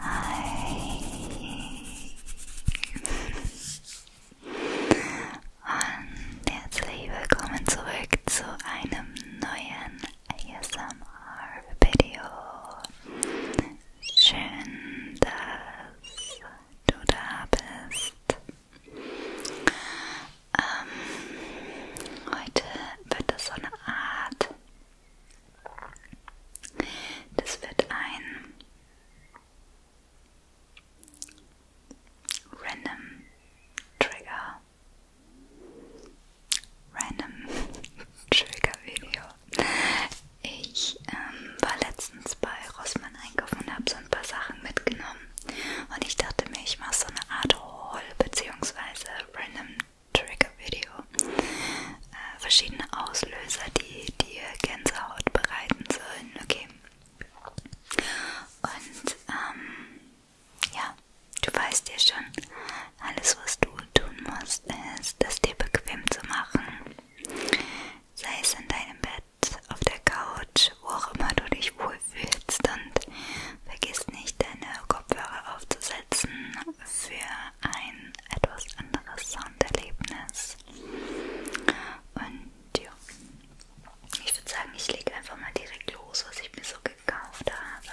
Hi. Und herzlich willkommen zurück zu einem neuen ASMR-Video. Schön, dass du da bist. Ähm, heute wird es so eine Art, das wird ein Random Trigger. Random Trigger Video. Ich ähm, war letztens bei Rossmann einkaufen und habe so ein paar Sachen mitgenommen. Und ich dachte mir, ich mache so eine Art Haul bzw. Random Trigger Video. Äh, verschiedene Auslöser, die dir Gänsehaut bereiten sollen. Okay. Und ähm, ja, du weißt ja schon, alles was du tun musst, ist, das dir bequem zu machen. Sei es in deinem Bett, Bett, auf der Couch, wo auch immer du dich wohlfühlst und vergiss nicht deine Kopfhörer aufzusetzen für ein etwas anderes Sounderlebnis. Und ja, ich würde sagen, ich lege einfach mal direkt los, was ich mir so gekauft habe.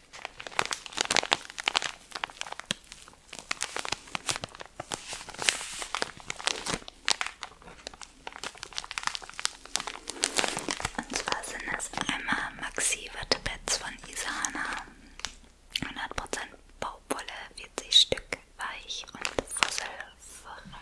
Und zwar sind es einmal Maxi Wattepets von Isana. 100% Baumwolle, 40 Stück weich und fusselfrei.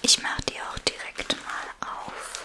Ich mache die auch direkt mal auf.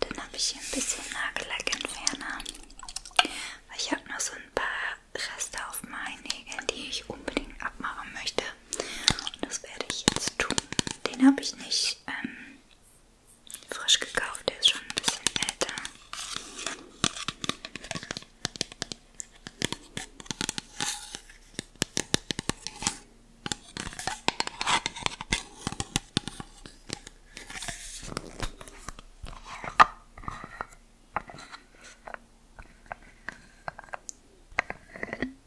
Dann habe ich hier ein bisschen Nagellackentferner. Ich habe noch so ein paar Reste auf meinen Nägeln, die ich unbedingt abmachen möchte. Und das werde ich jetzt tun. Den habe ich nicht ähm, frisch gekauft, der ist schon ein bisschen älter.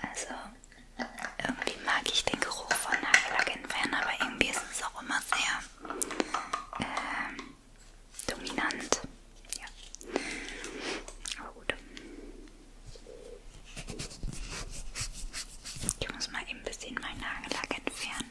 Also, irgendwie mag ich den Geruch von Nagellackentferner, aber irgendwie ist es auch immer sehr ähm, dominant. Ja. Aber gut. Ich muss mal eben ein bisschen meinen Nagellack entfernen.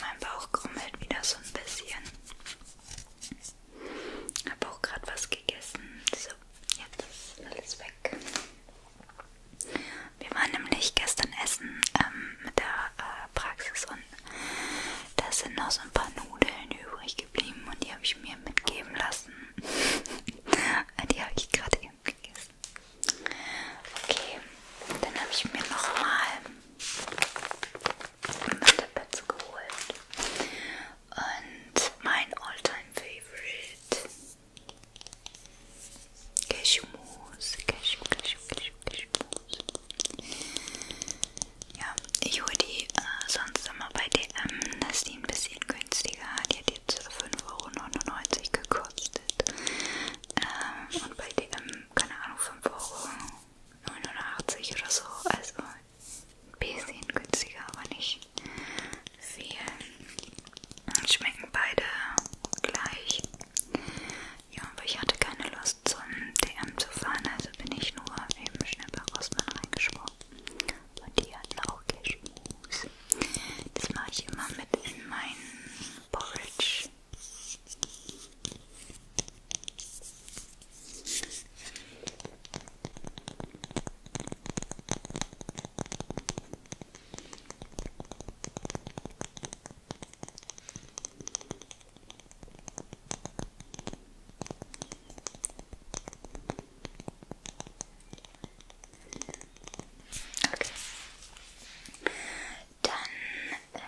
Mein Bauch krummelt wieder so ein bisschen. Süßes. Ich habe auch gerade was gegessen. So, jetzt ist alles weg. Wir waren nämlich gestern essen ähm, mit der äh, Praxis und da sind noch so ein paar Nudeln übrig geblieben und die habe ich mir mitgeben lassen. die habe ich gerade eben gegessen. Okay, dann habe ich mir nochmal ein Wattepets geholt und mein Alltime Favorite Cashewmus, Cashew, Cashew, Cashew, Cashewmus. Ja, ich hole die äh, sonst immer bei DM, das ist die ein bisschen günstiger. Die hat jetzt 5,99 Euro gekostet. Ähm, und bei DM, keine Ahnung, 5 Euro. 89 oder so, also ein bisschen günstiger, aber nicht viel. Schmecken beide gleich. Ja, aber ich hatte keine Lust zum DM zu fahren, also bin ich nur eben schnell bei Rossmann reingesprungen. Und die hatten auch Cashmuse. Das mache ich immer mit in meinen Porridge. Okay. Dann äh,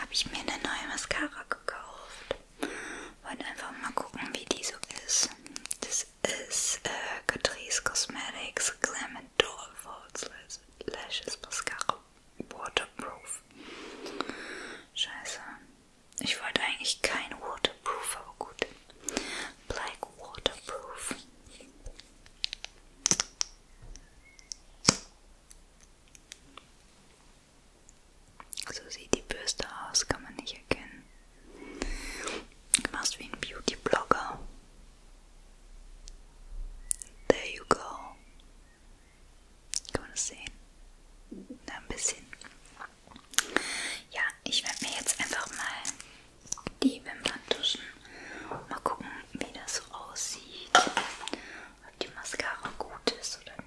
habe ich mir eine neue Mascara gekauft. Wollen einfach mal gucken, wie die so ist. Das ist äh, Catrice Cosmetics Glam and Doll False Lashes Mascara Waterproof. Scheiße. Ich wollte eigentlich kein Waterproof, aber gut. Black Waterproof. So sieht die Bürste aus, kann man nicht erkennen. Du machst wie ein Beauty-Blogger. There you go. Kann man das sehen? Na, ein bisschen. Ja, ich werde mir jetzt einfach mal die Wimpern duschen. Mal gucken, wie das so aussieht. Ob die Mascara gut ist oder nicht.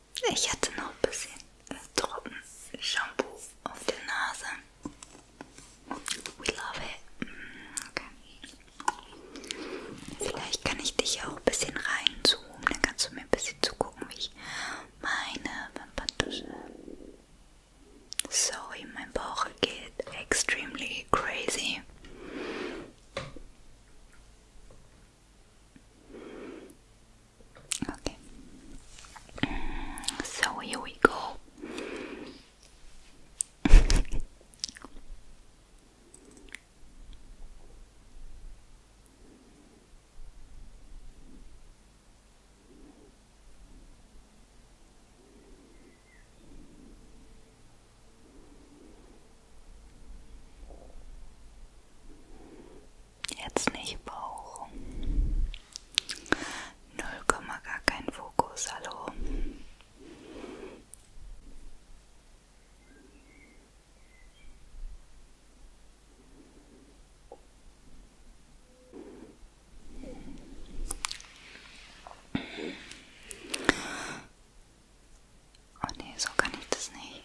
Ich hatte noch ein bisschen äh, trocken Shampoo auf der Nase. We love it. Mm, okay. Vielleicht kann ich dich auch ein bisschen reinzoomen, dann kannst du mir ein bisschen zugucken, wie ich meine Wimperntusche. Sorry, mein Bauch geht extremely crazy. Okay, so here we go. Jetzt nicht Bauch. Null Komma gar kein Fokus, hallo. Oh nee, so kann ich das nicht.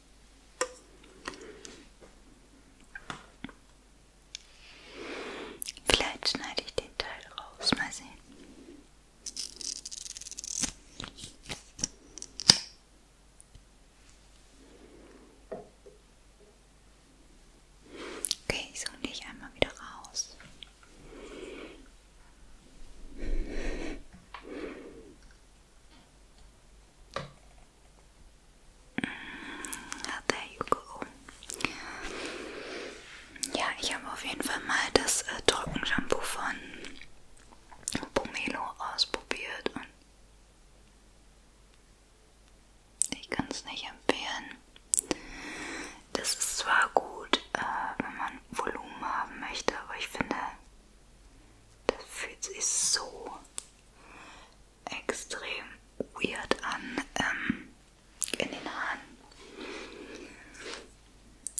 Vielleicht schneide ich den Teil raus, mal sehen. Okay, so gehe ich einmal wieder raus. Ah, there you go. Ja, ich habe auf jeden Fall mal das äh, Trockenshampoo von Pomelo ausprobiert und ich kann es nicht empfehlen. Das ist zwar gut, äh, wenn man Volumen haben möchte, aber ich finde, das fühlt sich so extrem weird an ähm, in den Haaren.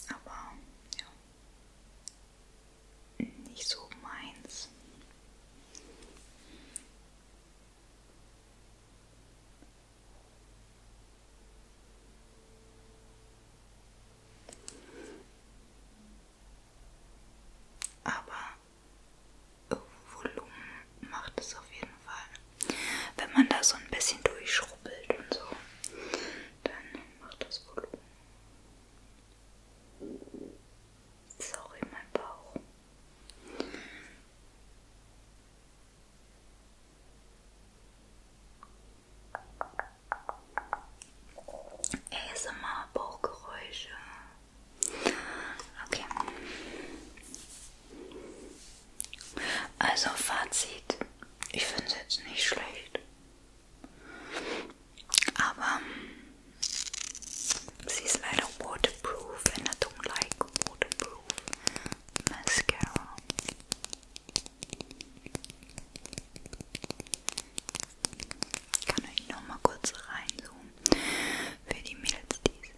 Aber ja, nicht so meins. Aber Volumen macht es auf jeden Fall. Wenn man da so ein bisschen durchschrubbelt und so, dann macht das Volumen. Sorry, mein Bauch. ASMR Bauchgeräusche Okay. Also Fazit. Ich finde es jetzt nicht schlecht. Aber sie ist leider waterproof and I don't like waterproof mascara. Ich kann euch noch mal kurz reinzoomen für die Mädels, die es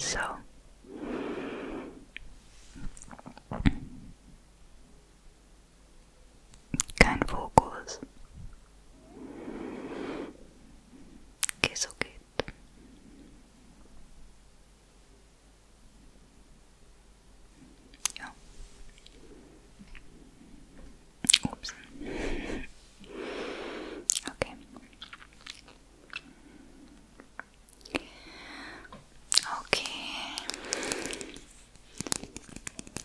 interessiert. So. Kein Fokus. Okay, so geht. Ja. Ups. Okay. Okay.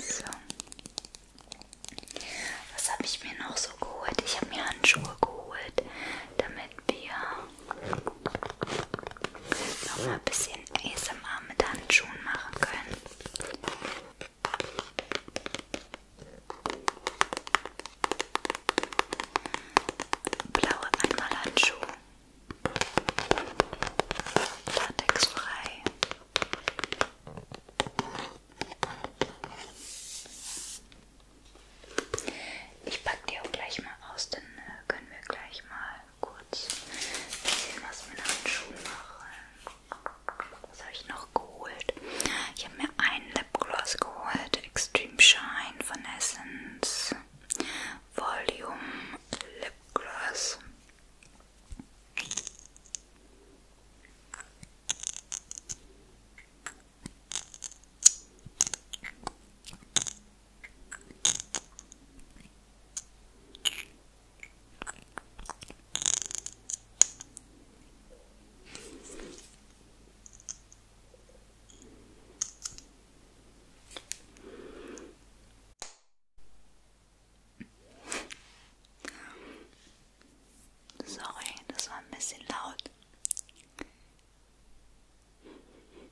So. Was habe ich mir noch so geholt? Ich habe mir Handschuhe geholt, damit wir noch mal ein bisschen ASMR mit Handschuhen machen können. Blaue Einmalhandschuhe. Latexfrei. Ich pack die auch gleich mal aus, dann äh, können wir gleich mal kurz sehen, was mit meinen Schuhen mache. Was habe ich noch geholt? Ich habe mir einen Lipgloss geholt. Extreme Shine von Essence. Volume Lipgloss. Sorry, das war ein bisschen laut.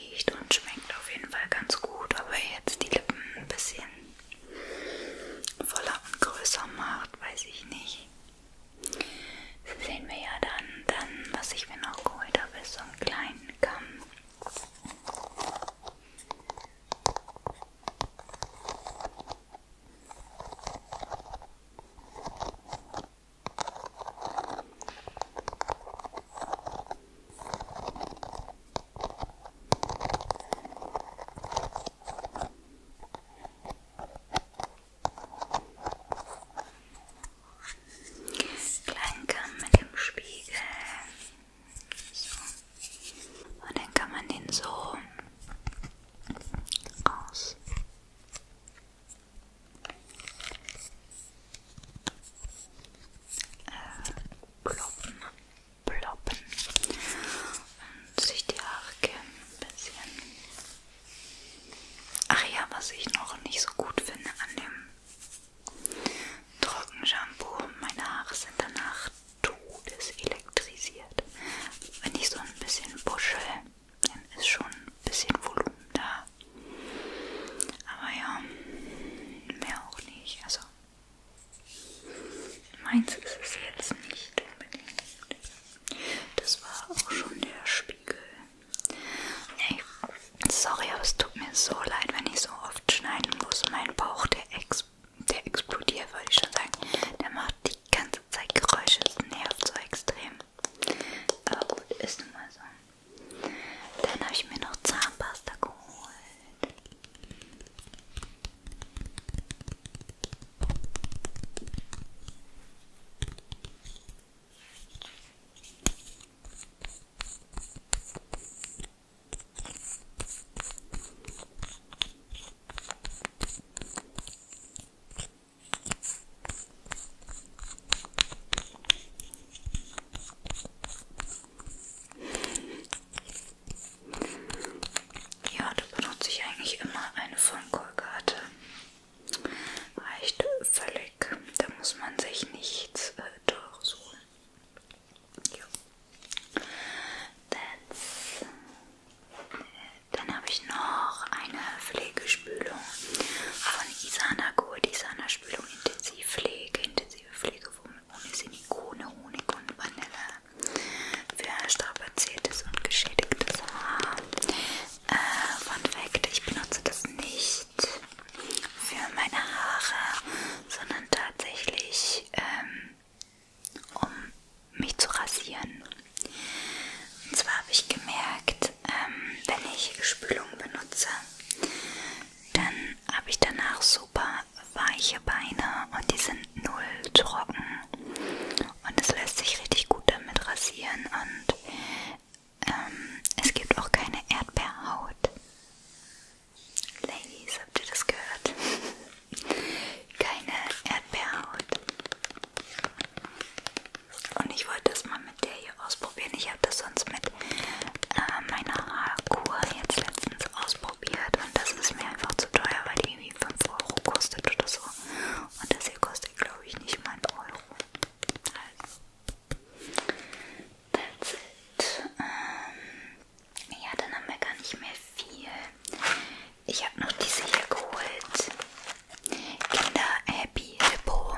riecht und schmeckt auf jeden Fall ganz gut, aber jetzt die Lippen ein bisschen voller und größer macht, weiß ich nicht. Das sehen wir ja dann, dann was ich mir noch geholt habe, ist so einen kleinen Kamm. Kleinkamm mit dem Spiegel. So. Und dann kann man den so raus. Äh, ploppen, ploppen und sich die Haare kämmen ein bisschen. Ach ja, was ich noch nicht so gut finde an dem Trockenshampoo, meine Haare sind danach todeselektrisiert. Wenn ich so ein bisschen buschel, dann ist schon ein bisschen Volumen da. Aber ja, mehr auch nicht. Also Meins ist es jetzt nicht unbedingt. Das war auch schon der Spiegel. Nee, sorry, aber es tut mir so leid, wenn ich so oft schneiden muss. Mein Bauch, der, ex der explodiert, würde ich schon sagen. Der macht die ganze Zeit Geräusche. Es nervt so extrem. Aber gut, ist nun mal so. Dann habe ich mir noch Zahnpasta geholt. Ja, da benutze ich eigentlich immer eine von Colgate. Reicht völlig. Da muss man sich nichts äh, Teures holen. Ja. That's, äh, dann habe ich noch eine Pflegespülung von Isana geholt. Isana Spülung Intensivpflege, intensive Pflege, wo ohne Silikone, Honig und Vanille für strapaziertes und geschädigtes Haar. Äh, Fun Fact, ich benutze das nicht für meine Haare, sondern tatsächlich ähm, um mich zu rasieren. Und zwar habe ich gemerkt, ähm, wenn ich Spülung benutze, dann habe ich danach super weiche Beine und die sind null trocken. Und es lässt sich richtig gut damit rasieren und ähm, es gibt auch keine Erdbeerhaut. Ladies, habt ihr das gehört? keine Erdbeerhaut. Und ich wollte das mal mit der hier ausprobieren. Ich habe das sonst mit äh, meine Haarkur jetzt letztens ausprobiert und das ist mir einfach zu teuer, weil die irgendwie 5 Euro kostet oder so. Und das hier kostet, glaube ich, nicht mal einen Euro. Also, that's it. Ähm, ja, dann haben wir gar nicht mehr viel. Ich habe noch diese hier geholt. Kinder Happy Hippo.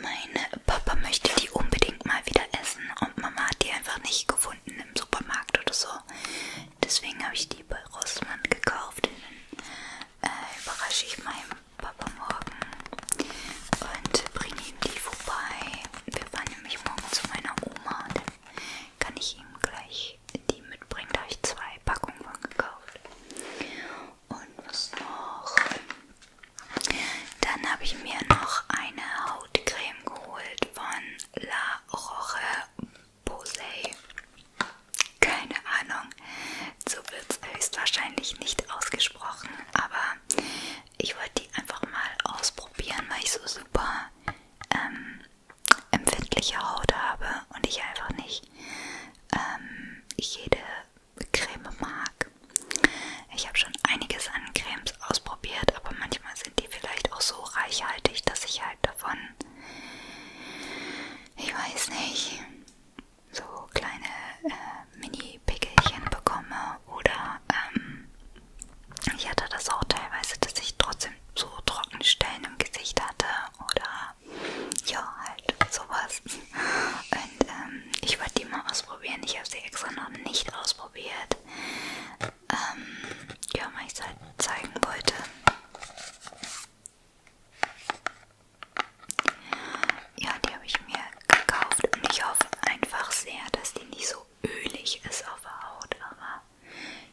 Mein Papa möchte die unbedingt mal wieder essen und Mama hat die einfach nicht gefunden im Supermarkt oder so. Deswegen habe ich die bei Rossmann gekauft. Dann äh, überrasche ich meinen Papa morgen und bringe ihm die vorbei. Wir fahren nämlich morgen zu meiner Oma. Dann kann ich ihm gleich die mitbringen. Da habe ich zwei Packungen von gekauft. Und was noch? Dann habe ich mir noch eine Hautcreme geholt von La Roche Posay. Keine Ahnung, so wird es höchstwahrscheinlich nicht ausgesprochen, aber ich wollte die einfach mal ausprobieren, weil ich so super ähm, empfindliche Haut habe und ich einfach nicht ähm, jede Creme mag. Ich habe schon einiges an Cremes ausprobiert, aber manchmal sind die vielleicht auch so reichhaltig, dass ich halt davon, ich weiß nicht, so kleine äh, Mini-Pickelchen bekomme oder ähm, ich hatte das auch teilweise, dass ich trotzdem so trockene Stellen im Gesicht hatte oder ja, halt sowas ist. Und ähm, ich wollte die mal ausprobieren. Ich habe sie extra noch nicht ausprobiert. Ähm, ja, weil ich es halt zeigen wollte. Ja, die habe ich mir gekauft und ich hoffe einfach sehr, dass die nicht so ölig ist auf der Haut, aber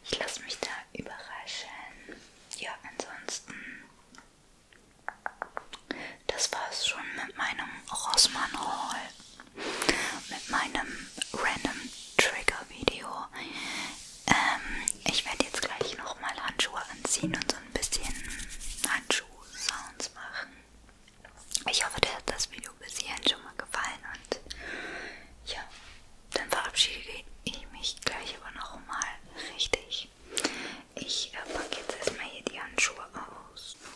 ich lasse mich da überraschen. Ja, ansonsten das war es schon mit meinem Rossmann Hall, mit meinem Random Trigger Video. Ähm, ich werde jetzt gleich nochmal Handschuhe anziehen und so ein bisschen Handschuh-Sounds machen. Ich hoffe, dir hat das Video bis hierhin schon mal gefallen und ja, dann verabschiede ich mich gleich aber nochmal richtig. Ich äh, packe jetzt erstmal hier die Handschuhe aus.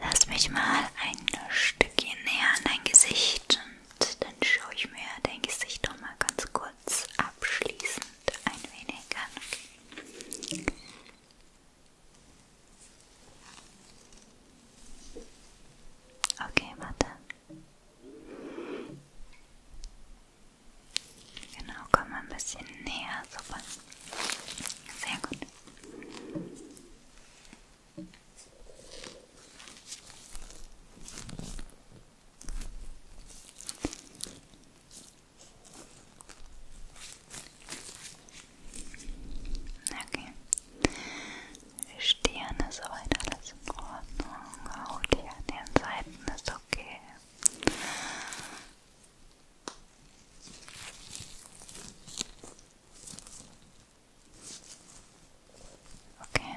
Lass mich mal ein Stückchen näher an dein Gesicht und dann schaue ich mir dein Gesicht noch mal ganz kurz abschließend ein wenig an. Okay. Okay, warte. Genau, komm mal ein bisschen näher. Super. Sehr gut. Okay. Die Stirn ist soweit alles in Ordnung. Haut hier an den Seiten ist okay. Okay.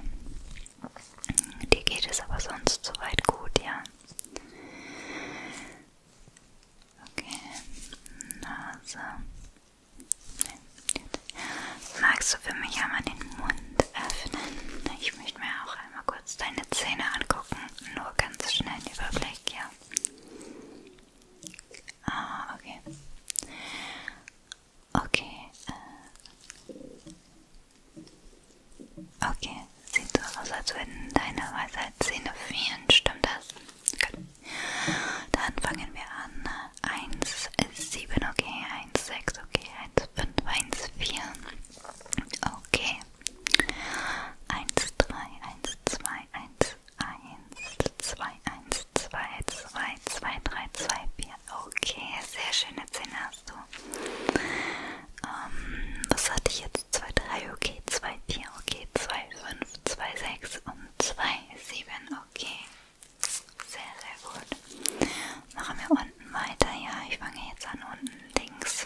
Dir geht es aber sonst soweit gut, ja? Okay. Nase. Magst du für mich einmal den Mund öffnen? Ich möchte mir auch einmal kurz deine Zähne angucken gucken, nur ganz schnell einen Überblick, ja. Ah, okay. Okay, äh. Okay, sieht so aus, als würden deine Weisheitszähne fehlen, stimmt das? Gut. Dann fangen wir an. 1, 7, okay, 1, 6, okay, 1, 5, 1, 4. Okay. 1, 3, 1, 2, 1, 1, 2, 1, 2, 2, 2, 3, 2, 4. Okay, sehr schöne Zähne hast du. Ähm, was hatte ich jetzt? 2, 3, okay, 2, 4, okay, 2, 5, 2, 6 und 2, 7, okay. Sehr, sehr gut. Machen wir unten weiter, ja. Ich fange jetzt an unten links.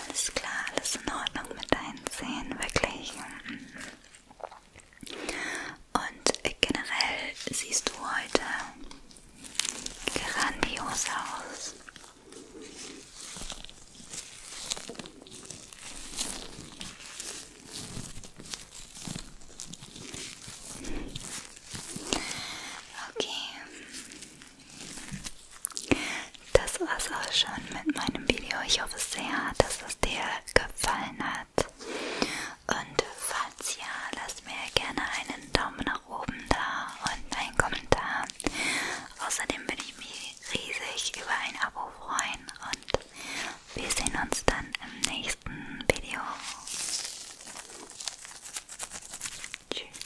Alles klar, alles in Ordnung mit deinen Zähnen, wirklich. Und generell siehst du heute grandios aus. Okay das war's auch schon mit meinem Video. Ich hoffe sehr, dass es dir gefallen hat. Und falls ja, lass mir gerne einen Daumen nach oben da und einen Kommentar. Außerdem würde ich mich riesig über ein Abo freuen und wir sehen uns dann im nächsten Video. Tschüss.